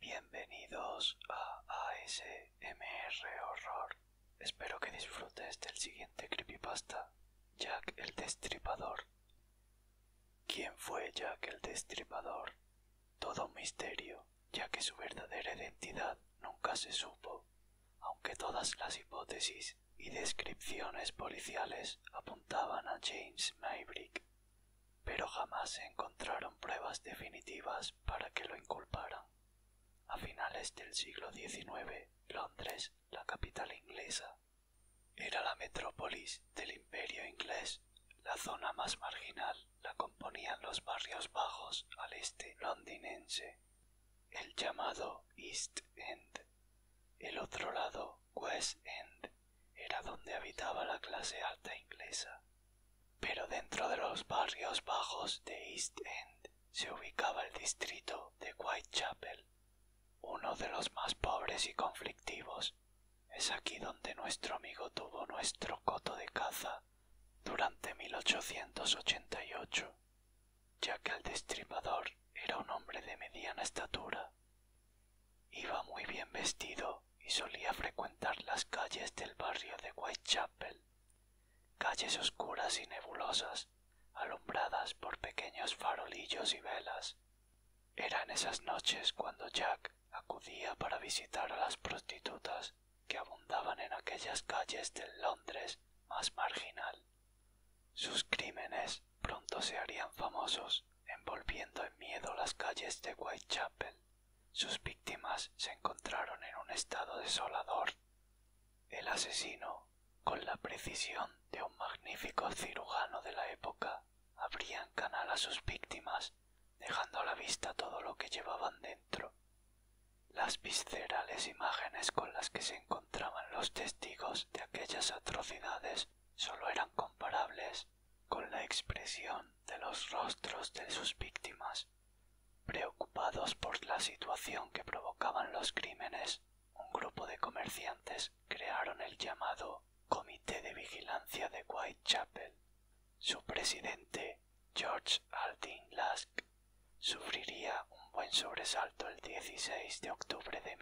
Bienvenidos a ASMR Horror. Espero que disfrutes del siguiente creepypasta, Jack el Destripador. ¿Quién fue Jack el Destripador? Todo un misterio, ya que su verdadera identidad nunca se supo, aunque todas las hipótesis y descripciones policiales apuntaban a James Maybrick, pero jamás se encontraron pruebas definitivas para que lo inculparan. A finales del siglo XIX, Londres, la capital inglesa, era la metrópolis del imperio inglés. La zona más marginal la componían los barrios bajos al este londinense, el llamado East End. El otro lado, West End, era donde habitaba la clase alta inglesa. Pero dentro de los barrios bajos de East End se ubicaba el distrito de Whitechapel, uno de los más pobres y conflictivos. Es aquí donde nuestro amigo tuvo nuestro coto de caza durante 1888 ya que el destripador era un hombre de mediana estatura. Iba muy bien vestido y solía frecuentar las calles del barrio de Whitechapel, calles oscuras y nebulosas, alumbradas por pequeños farolillos y velas. Eran esas noches cuando Jack acudía para visitar a las prostitutas que abundaban en aquellas calles del Londres más marginal. Sus crímenes pronto se harían famosos, envolviendo en miedo las calles de Whitechapel. Sus víctimas se encontraron en un estado desolador. El asesino, con la precisión de un magnífico cirujano de la época, abría en canal a sus víctimas, dejando a la vista todo lo que llevaban dentro las viscerales imágenes con las que se encontraban los testigos de aquellas atrocidades sólo eran comparables con la expresión de los rostros de sus víctimas. Preocupados por la situación que provocaban los crímenes, un grupo de comerciantes crearon el llamado Comité de Vigilancia de Whitechapel. Su presidente, George Aldin Lask, Sufriría un buen sobresalto el de octubre de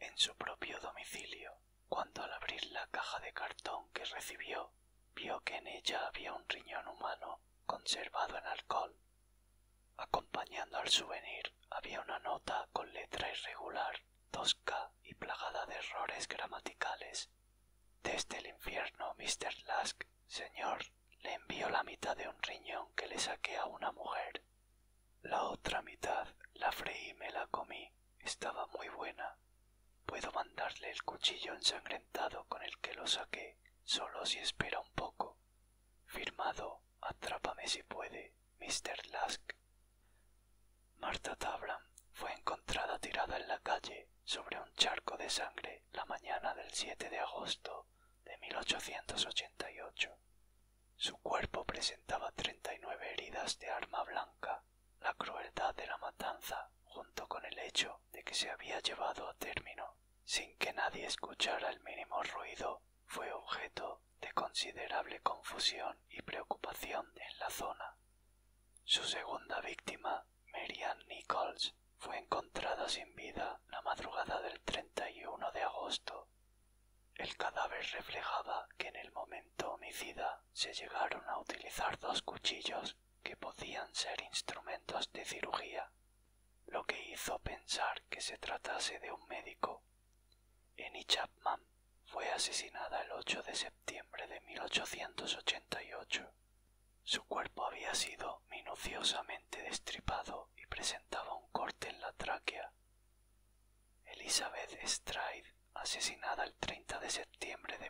en su propio domicilio, cuando al abrir la caja de cartón que recibió, vio que en ella había un riñón humano conservado en alcohol. Acompañando al souvenir había una nota con letra irregular, tosca y plagada de errores gramaticales desde el infierno, Mr. Lask, señor, le envío la mitad de un riñón que le saqué a una mujer. La otra mitad la freí y me la comí. Estaba muy buena. Puedo mandarle el cuchillo ensangrentado con el que lo saqué, solo si espera un poco. Firmado, atrápame si puede, Mr. Lask. Marta Tabram fue encontrada tirada en la calle sobre un charco de sangre la mañana del 7 de agosto de 1888. Su cuerpo presentaba 39 heridas de arma blanca. La crueldad de la matanza, junto con el hecho de que se había llevado a término sin que nadie escuchara el mínimo ruido, fue objeto de considerable confusión y preocupación en la zona. Su segunda víctima Merian Nichols fue encontrada sin vida la madrugada del 31 de agosto. El cadáver reflejaba que en el momento homicida se llegaron a utilizar dos cuchillos que podían ser instrumentos de cirugía, lo que hizo pensar que se tratase de un médico. Annie Chapman fue asesinada el 8 de septiembre de 1888 su cuerpo había sido minuciosamente destripado y presentaba un corte en la tráquea. Elizabeth Stride, asesinada el de septiembre de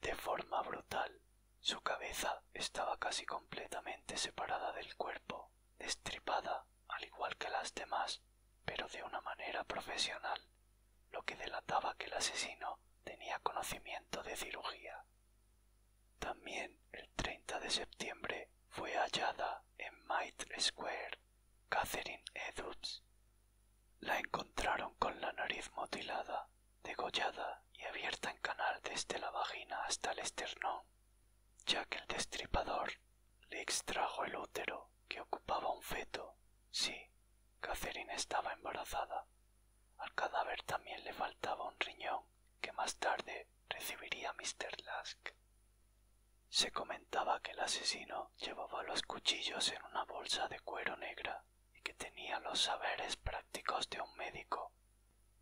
De forma brutal, su cabeza estaba casi completamente separada del cuerpo, destripada al igual que las demás, pero de una manera profesional lo que delataba que el asesino tenía conocimiento de cirugía. También el de septiembre fue hallada en Mitre Square Catherine Edwards. La encontraron con la nariz mutilada, degollada y abierta en canal desde la vagina hasta el esternón, ya que el destripador le extrajo el útero que ocupaba un feto, sí, Catherine estaba embarazada. Al cadáver también le faltaba un riñón que más tarde recibiría Mr. Lask. Se comentaba que el asesino llevaba los cuchillos en una bolsa de cuero negra y que tenía los saberes prácticos de un médico.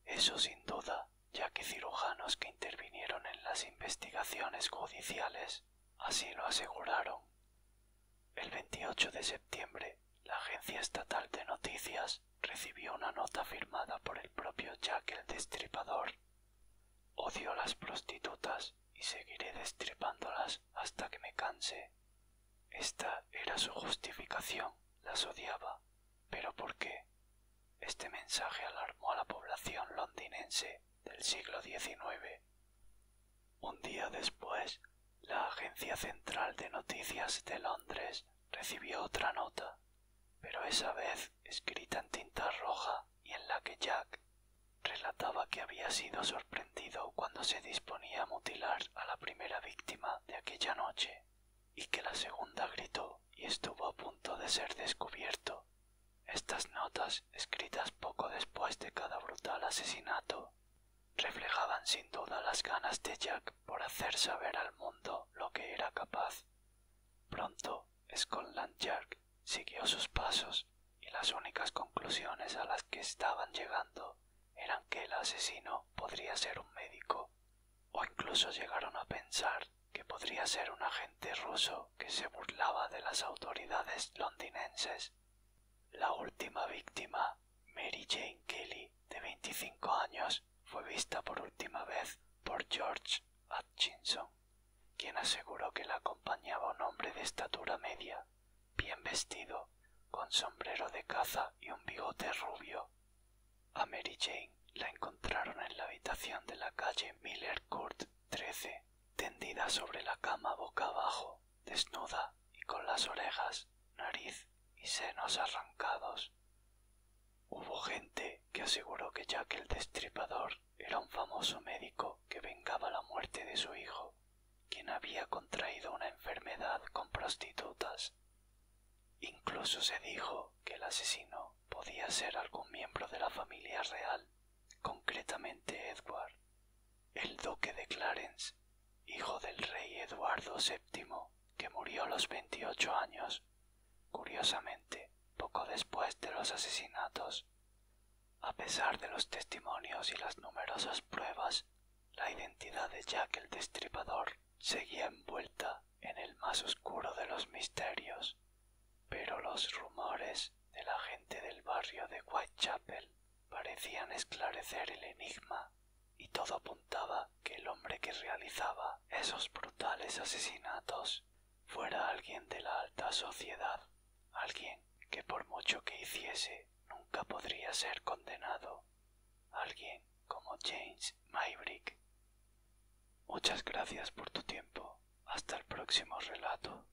Eso sin duda, ya que cirujanos que intervinieron en las investigaciones judiciales así lo aseguraron. El 28 de septiembre, la agencia estatal de noticias recibió una nota firmada por el propio Jack el Destripador. Odio las prostitutas y seguiré destripándolas hasta que me canse. Esta era su justificación, las odiaba. ¿Pero por qué? Este mensaje alarmó a la población londinense del siglo un día después, la Agencia Central de Noticias de Londres recibió otra nota, pero esa vez escrita en tinta roja y en la que Jack relataba que había sido sorprendido cuando se disponía a mutilar a la primera víctima de aquella noche y que la segunda gritó y estuvo a punto de ser descubierto. Estas notas, escritas poco después de cada brutal asesinato, reflejaban sin duda las ganas de Jack por hacer saber al mundo lo que era capaz. Pronto, Scotland Yard siguió sus pasos y las únicas conclusiones a las que estaban llegando eran que el asesino podría ser un médico, o incluso llegaron a pensar que podría ser un agente ruso que se burlaba de las autoridades londinenses la última víctima, Mary Jane Kelly, de veinticinco años, fue vista por última vez por George Hutchinson, quien aseguró que la acompañaba un hombre de estatura media, bien vestido, con sombrero de caza y un bigote rubio. A Mary Jane la encontraron en la habitación de la calle Miller Court tendida sobre la cama boca abajo, desnuda y con las orejas, nariz y senos arrancados. Hubo gente que aseguró que Jack el Destripador era un famoso médico que vengaba la muerte de su hijo, quien había contraído una enfermedad con prostitutas. Incluso se dijo que el asesino podía ser algún miembro de la familia real concretamente Edward, el duque de Clarence, hijo del rey Eduardo VII, que murió a los veintiocho años, curiosamente poco después de los asesinatos. A pesar de los testimonios y las numerosas pruebas, la identidad de Jack el Destripador seguía envuelta en el más oscuro de los misterios, pero los rumores de la gente del barrio de Whitechapel parecían esclarecer el enigma y todo apuntaba que el hombre que realizaba esos brutales asesinatos fuera alguien de la alta sociedad, alguien que por mucho que hiciese nunca podría ser condenado, alguien como James Maybrick. Muchas gracias por tu tiempo. Hasta el próximo relato.